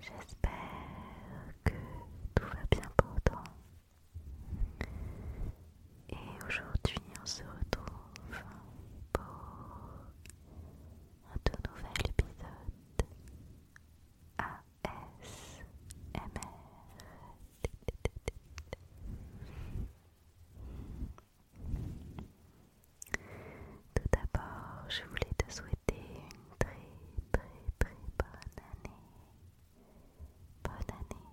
J'espère que tout va bien pour toi. Et aujourd'hui, on se retrouve pour un tout nouvel épisode ASMR. Tout d'abord, je voulais te souhaiter une très très très bonne année. Bonne année.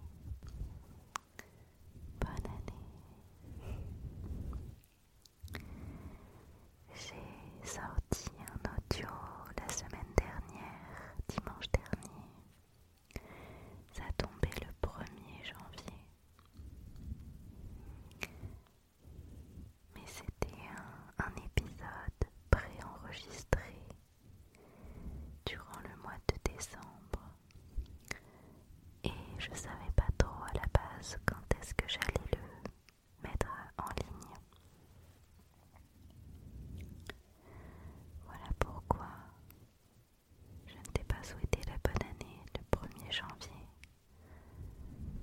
Bonne année. J'ai sorti un audio la semaine dernière, dimanche dernier. Ça tombait le 1er janvier. Mais c'était un, épisode épisode préenregistré durant le mois de décembre. Et je savais pas trop à la base quand est-ce que j'allais le mettre en ligne. Voilà pourquoi je ne t'ai pas souhaité la bonne année le 1er janvier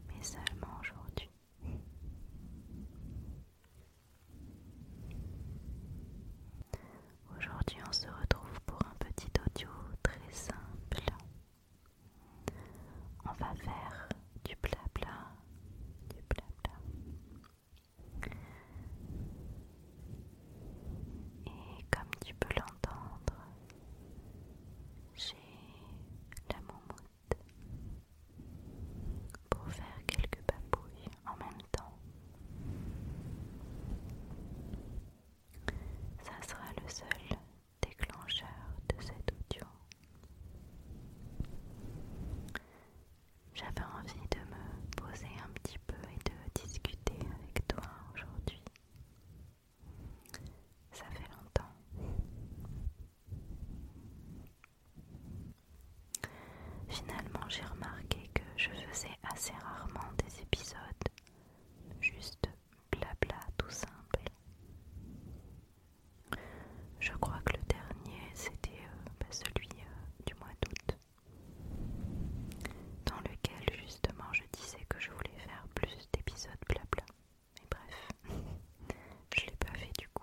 mais seulement aujourd'hui. Aujourd'hui, on se retrouve pour un petit audio très simple. On va faire du blabla, du blabla. Et comme tu peux l'entendre, j'ai la moumoute pour faire quelques papouilles en même temps. Ça sera le seul déclencheur de cet audio. J'avais envie de me poser un petit peu et de discuter avec toi aujourd'hui. Ça fait longtemps. Finalement, j'ai remarqué que je faisais assez rarement des épisodes, juste blabla tout simple. Je crois que le dernier, c'était euh, bah, celui euh, du mois d'août, dans lequel justement je disais que je voulais faire plus d'épisodes blabla. Mais bref, je l'ai pas fait du coup.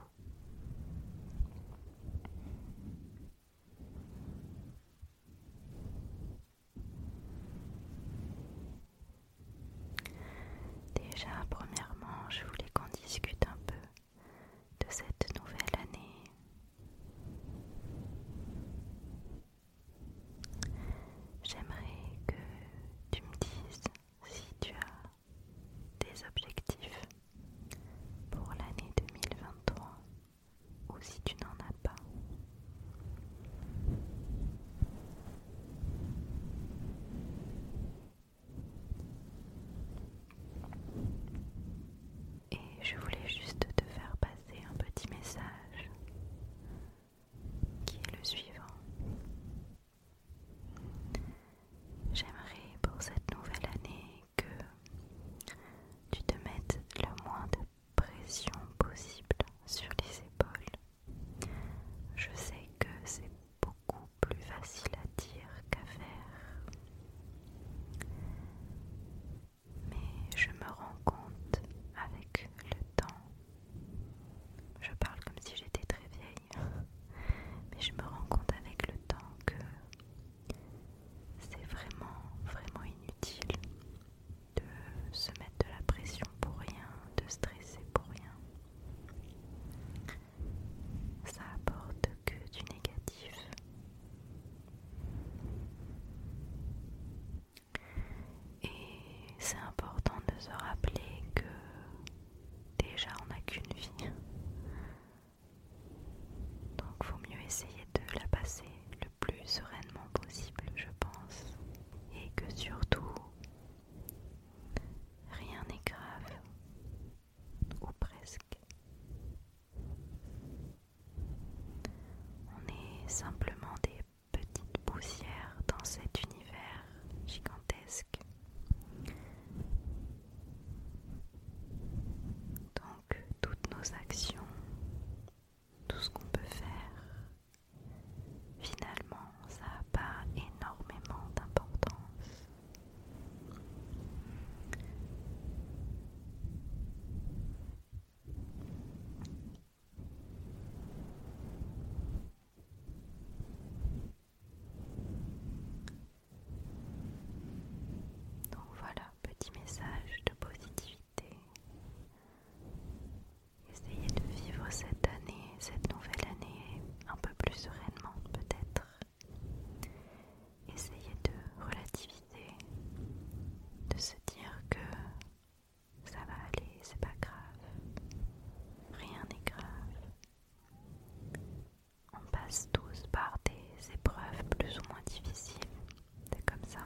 Déjà, premièrement, je voulais qu'on discute un peu de cette nouvelle année. J'aimerais que tu me dises si tu as des objectifs pour l'année 2023 ou si tu n'en as pas. Et je voulais juste te faire passer un petit message qui est le suivant. J'aimerais pour cette nouvelle année que tu te mettes le moins de pression possible sur les épaules. Je sais que c'est beaucoup plus facile à dire qu'à faire. Mais je me rends compte avec le temps je parle comme si j'étais très vieille, mais je me rends compte avec le temps que c'est vraiment, vraiment inutile de se mettre de la pression pour rien, de stresser pour rien. Ça apporte que du négatif. Et c'est important de se rappeler que déjà on n'a qu'une vie. Donc il vaut mieux essayer de la passer le plus sereinement possible, je pense. Et que surtout, rien n'est grave. Ou presque. On est simplement des petite poussière dans cet univers gigantesque. Donc toutes nos actions, tout ce qu'on peut faire, finalement ça n'a pas énormément d'importance. Donc voilà, petit message de positivité. Essayez de vivre cette année, cette nouvelle année, un peu plus sereinement peut-être. Essayez de relativiser, de se dire que ça va aller, c'est pas grave. Rien n'est grave. On passe tous par des épreuves plus ou moins difficiles. C'est comme ça.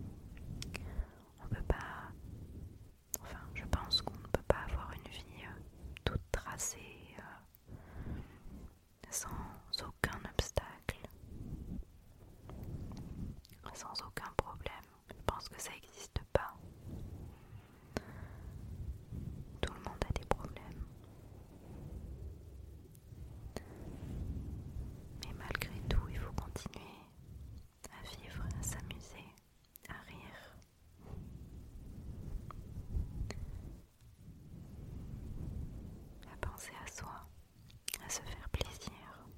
On peut pas... Enfin, je pense qu'on ne peut pas avoir une vie euh, toute tracée, euh, sans aucun obstacle, sans aucun problème. Je pense que ça n'existe pas. Tout le monde a des problèmes. Mais malgré tout, il faut continuer à vivre, à s'amuser, à rire. À penser à soi, à se faire plaisir,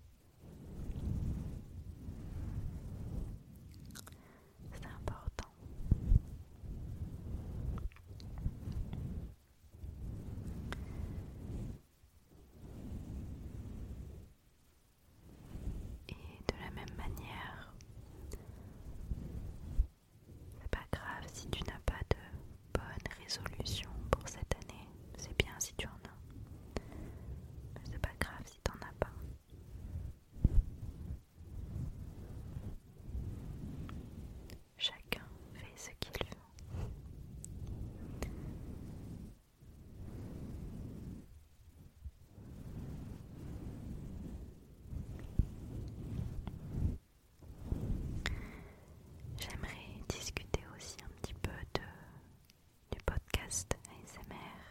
c'est important. Et de la même manière, c'est pas grave si tu n'as pas de bonne résolution pour cette année. C'est bien si tu en as. Mais c'est pas grave si tu n'en as pas. Chacun fait ce qu'il veut. J'aimerais discuter aussi un petit peu de du podcast ASMR.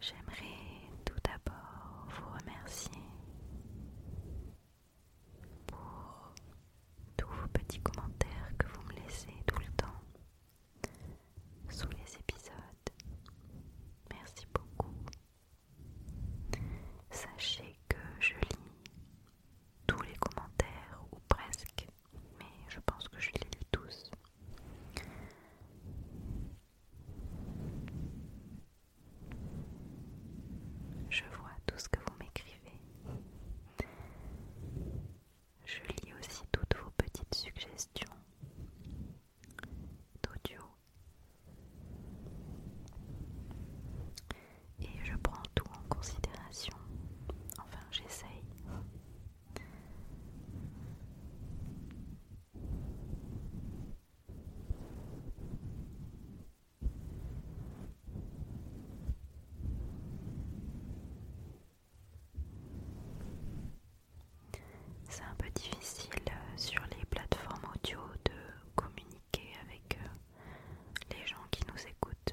J'aimerais tout d'abord vous remercier pour tous vos petits commentaires que vous me laissez tout le temps sous les épisodes. Merci beaucoup. Sachez que je lis tous les commentaires ou presque mais je pense que je les lis tous. Je vois tout ce que vous m'écrivez. Je lis aussi toutes vos petites suggestions d'audio. Et je prends tout en considération. Enfin, j'essaye. C'est un peu difficile euh, sur les plateformes audio de communiquer avec euh, les gens qui nous écoutent.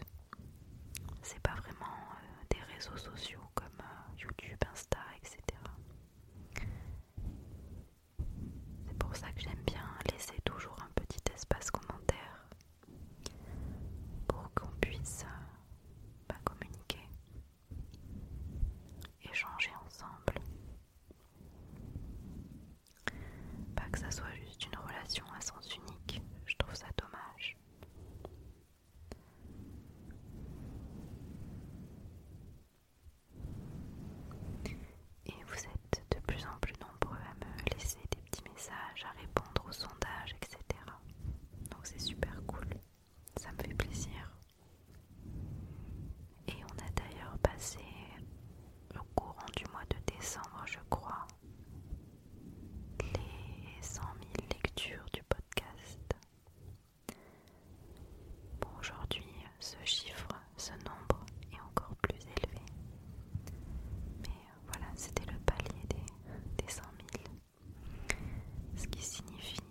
C'est pas vraiment euh, des réseaux sociaux comme euh, YouTube, Insta, etc. C'est pour ça que j'aime bien laisser toujours un petit espace commentaire pour qu'on puisse euh, bah, communiquer, échanger ensemble. Pas que ça soit juste une relation à sens unique, je trouve ça dommage. Et vous êtes de plus en plus nombreux à me laisser des petits messages, à répondre aux sondages, etc. Donc c'est super cool, ça me fait plaisir. Et on a d'ailleurs passé au courant du mois de décembre, je crois, les 100 000 lectures du podcast aujourd'hui, ce chiffre, ce nombre est encore plus élevé. Mais euh, voilà, c'était le palier des, des 100 000. Ce qui signifie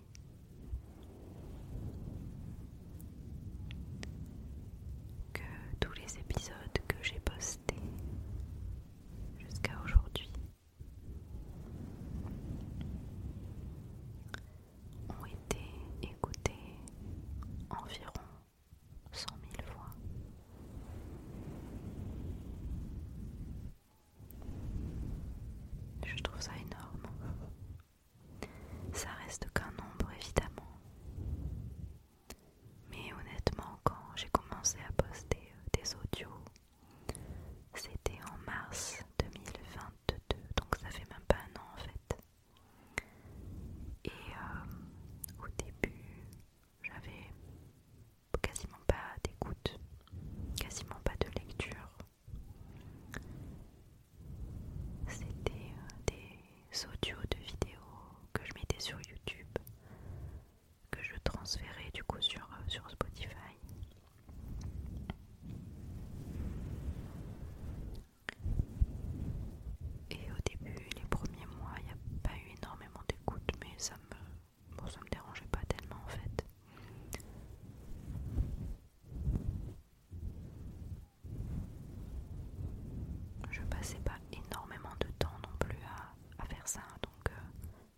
que tous les épisodes que j'ai postés jusqu'à aujourd'hui ont été écoutées environ cent mille fois. Je trouve ça énorme. Ça reste qu'un nombre évidemment. Mais honnêtement, quand j'ai commencé à poster euh, des audios c'était en mars 2022, donc ça fait même pas un an en fait. Et euh, au début, j'avais quasiment pas d'écoute, quasiment pas de lecture. C'était euh, des audios de vidéos que je mettais sur YouTube que je transférais du coup euh, sur, Spotify. Et au début, les premiers mois, il n'y a pas eu énormément d'écoute, mais ça me, me dérangeait pas tellement en fait. Je passais pas énormément de temps non plus à, faire ça, donc euh,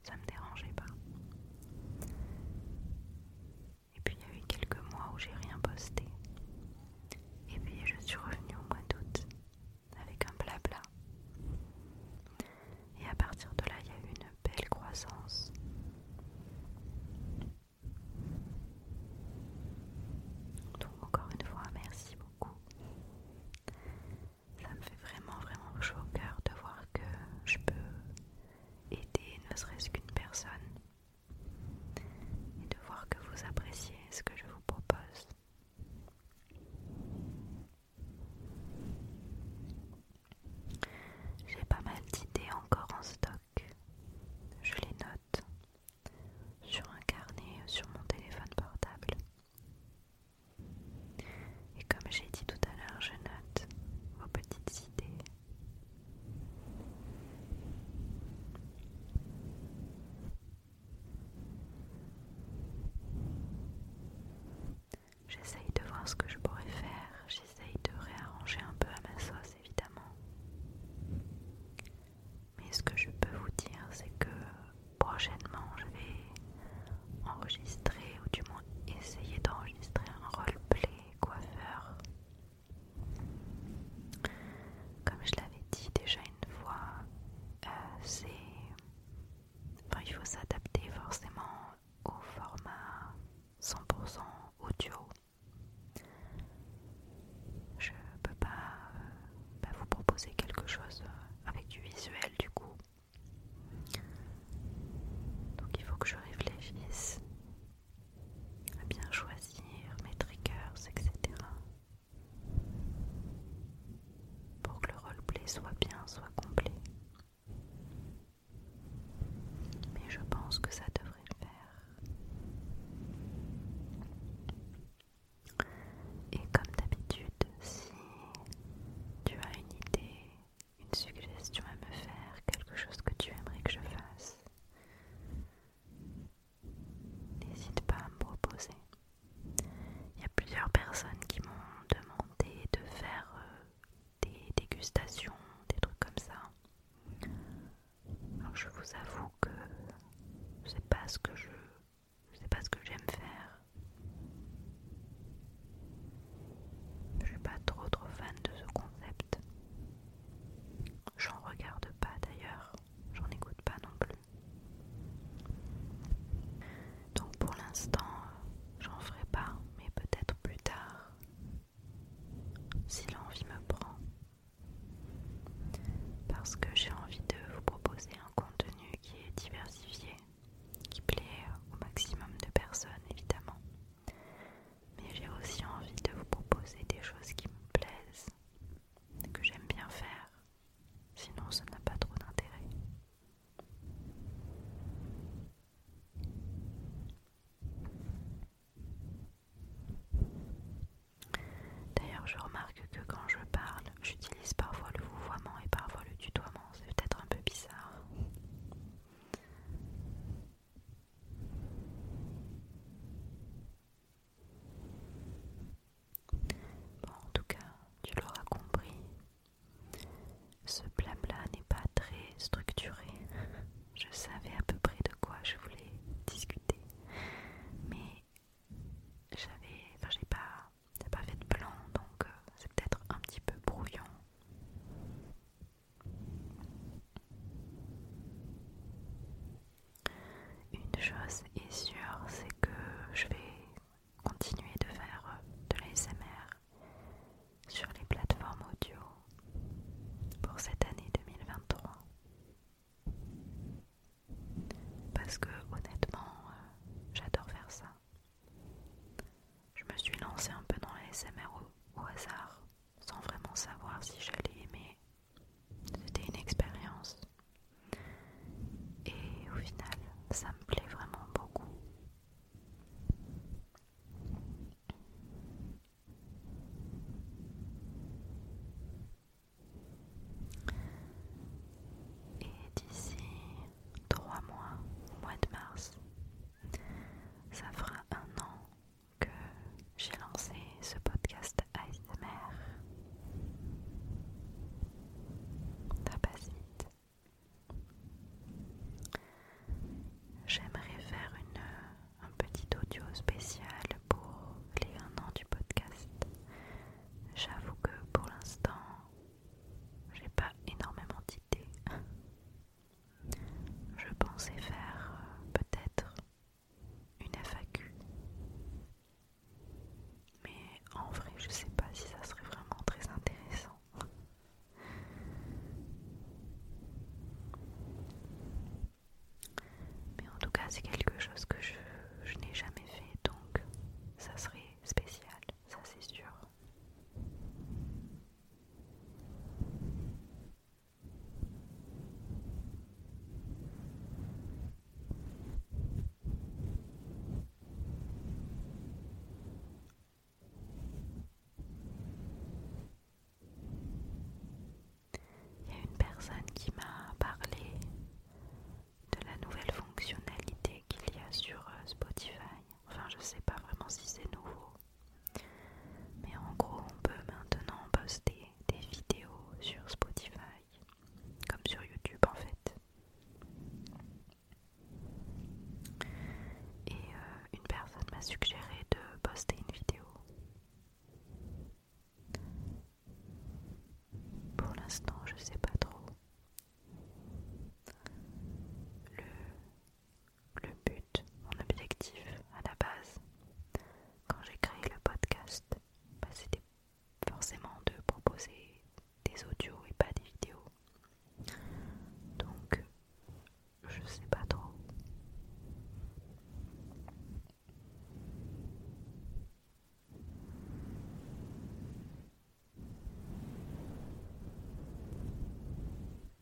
ça me dérangeait pas. Et puis il y a eu quelques mois où j'ai rien posté. Et puis je suis revenue au mois d'août avec un blabla. Et à partir de là, il y a eu une belle croissance. Donc encore une fois, merci beaucoup ça me fait vraiment vraiment chaud au cœur de voir que je peux aider ne serait-ce qu'une personne et de voir que vous appréciez ce que je vous propose. J'ai pas mal d'idées encore en stock. Je les note sur un carnet sur mon téléphone portable. Et comme j'ai dit tout à l'heure, je note vos petites idées. J'essaye de voir ce que je pourrais faire, j'essaye de réarranger un peu à ma sauce évidemment. Mais ce que je peux vous dire, c'est que prochainement je vais enregistrer ou du moins essayer d'enregistrer un roleplay coiffeur. Comme je l'avais dit déjà une fois, euh, c'est. il faut s'adapter forcément au format 100% audio. Je peux euh, pas vous proposer quelque chose avec du visuel du coup donc il faut que je réfléchisse à bien choisir mes triggers, etc. Pour que le roleplay soit bien, soit complet. Mais je pense que ça devrait le faire. Et comme d'habitude, si tu as une idée une suggestion à me faire, quelque chose que tu aimerais que je fasse, n'hésite pas à me proposer. Il y a plusieurs personnes qui m'ont demandé de faire euh, des dégustations, des trucs comme ça. je vous avoue que c'est pas ce que je sais pas ce que j'aime faire. Je ne suis pas trop trop fan de ce concept. J'en regarde pas d'ailleurs, j'en écoute pas non plus. Donc pour l'instant, j'en ferai pas, mais peut-être plus tard, si l'envie me prend. Parce que j'ai envie de vous proposer un contenu qui est diversifié qui plaît au maximum de personnes évidemment. Mais j'ai aussi envie de vous proposer des choses qui me plaisent, que j'aime bien faire, sinon ça n'a pas trop d'intérêt. D'ailleurs, je remarque que quand je parle, j'utilise parfois le vouvoiement et parfois le tutoiement. C'est peut-être un peu bizarre. Bon, en tout cas, tu l'auras compris. Ce blabla n'est pas très structuré. Je savais à peu près de quoi je voulais discuter, mais j'avais, enfin, j'ai pas, pas fait de plan, donc euh, c'est peut-être un petit peu brouillon une chose est sûre, c'est que je vais continuer de faire de l'ASMR sur les plateformes audio pour cette année 2023. Parce que honnêtement, euh, j'adore faire ça. Je me suis lancée un peu dans la SMR au, hasard, sans vraiment savoir si j'allais aimer. C'était une expérience. Et au final, ça me plaît vraiment beaucoup. Et d'ici trois mois, au mois de mars, ça fera un an que j'ai lancé ce podcast ASMR. Ça passe vite. J'aimerais faire un petit audio spécial pour les un an du podcast. J'avoue que pour l'instant, j'ai pas énormément d'idées. Je pensais faire euh, peut-être une FAQ. Mais en vrai, je sais pas si ça serait vraiment très intéressant. Mais en tout cas, c'est quelque chose que je n'ai jamais fait, donc ça serait spécial, ça c'est sûr. Il y a une personne qui m'a parlé de la nouvelle fonctionnalité qu'il y a sur euh, Spotify. Enfin, je sais pas vraiment si c'est nouveau, mais en gros, on peut maintenant poster des vidéos sur Spotify, comme sur YouTube en fait. Et euh, une personne m'a suggéré de poster une vidéo. Pour l'instant, je sais pas trop. Le le but, mon objectif à la base, quand j'ai créé le podcast, bah, c'était forcément de proposer des audios et pas des vidéos. Donc, je sais pas trop.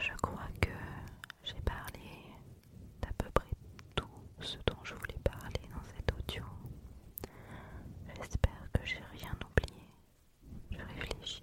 Je crois que j'ai parlé d'à peu près tout ce dont je voulais parler dans cet audio. J'espère que j'ai rien oublié. Je réfléchis.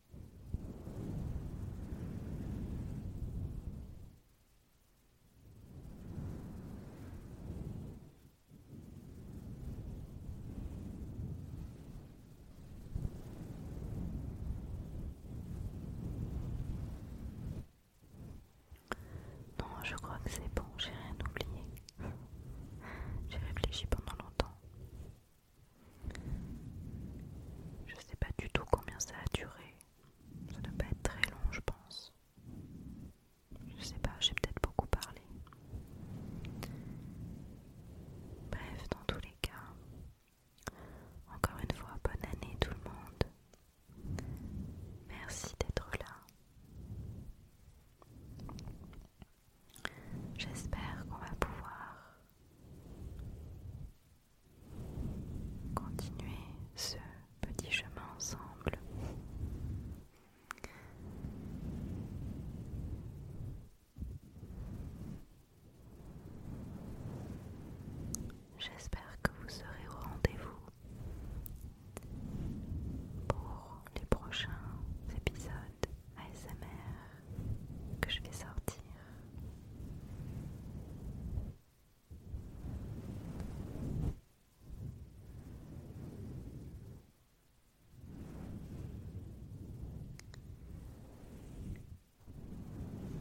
Non, je crois que c'est bon, j'ai rien oublié. J'ai réfléchi pendant longtemps. Je sais pas du tout combien ça a duré. Ça doit pas être très long, je pense. Je sais pas, j'ai peut-être beaucoup parlé. Bref, dans tous les cas, encore une fois, bonne année tout le monde. Merci d'être là. J'espère qu'on va pouvoir continuer ce petit chemin ensemble. J'espère que vous serez au rendez-vous pour les prochains épisodes. ASMR que je vais sortir.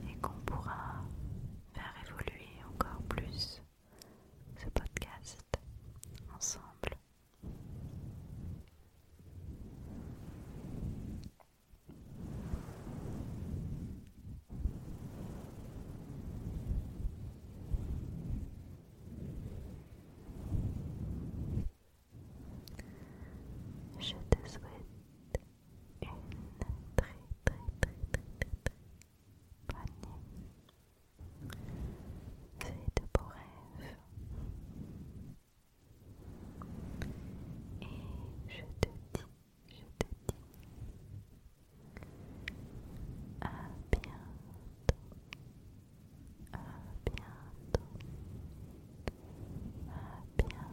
Et qu'on pourra faire évoluer encore plus ce podcast ensemble. Je te souhaite une très très très très très, bonne nuit. de beaux et je te dis, je te dis à bientôt, à bientôt, à bientôt.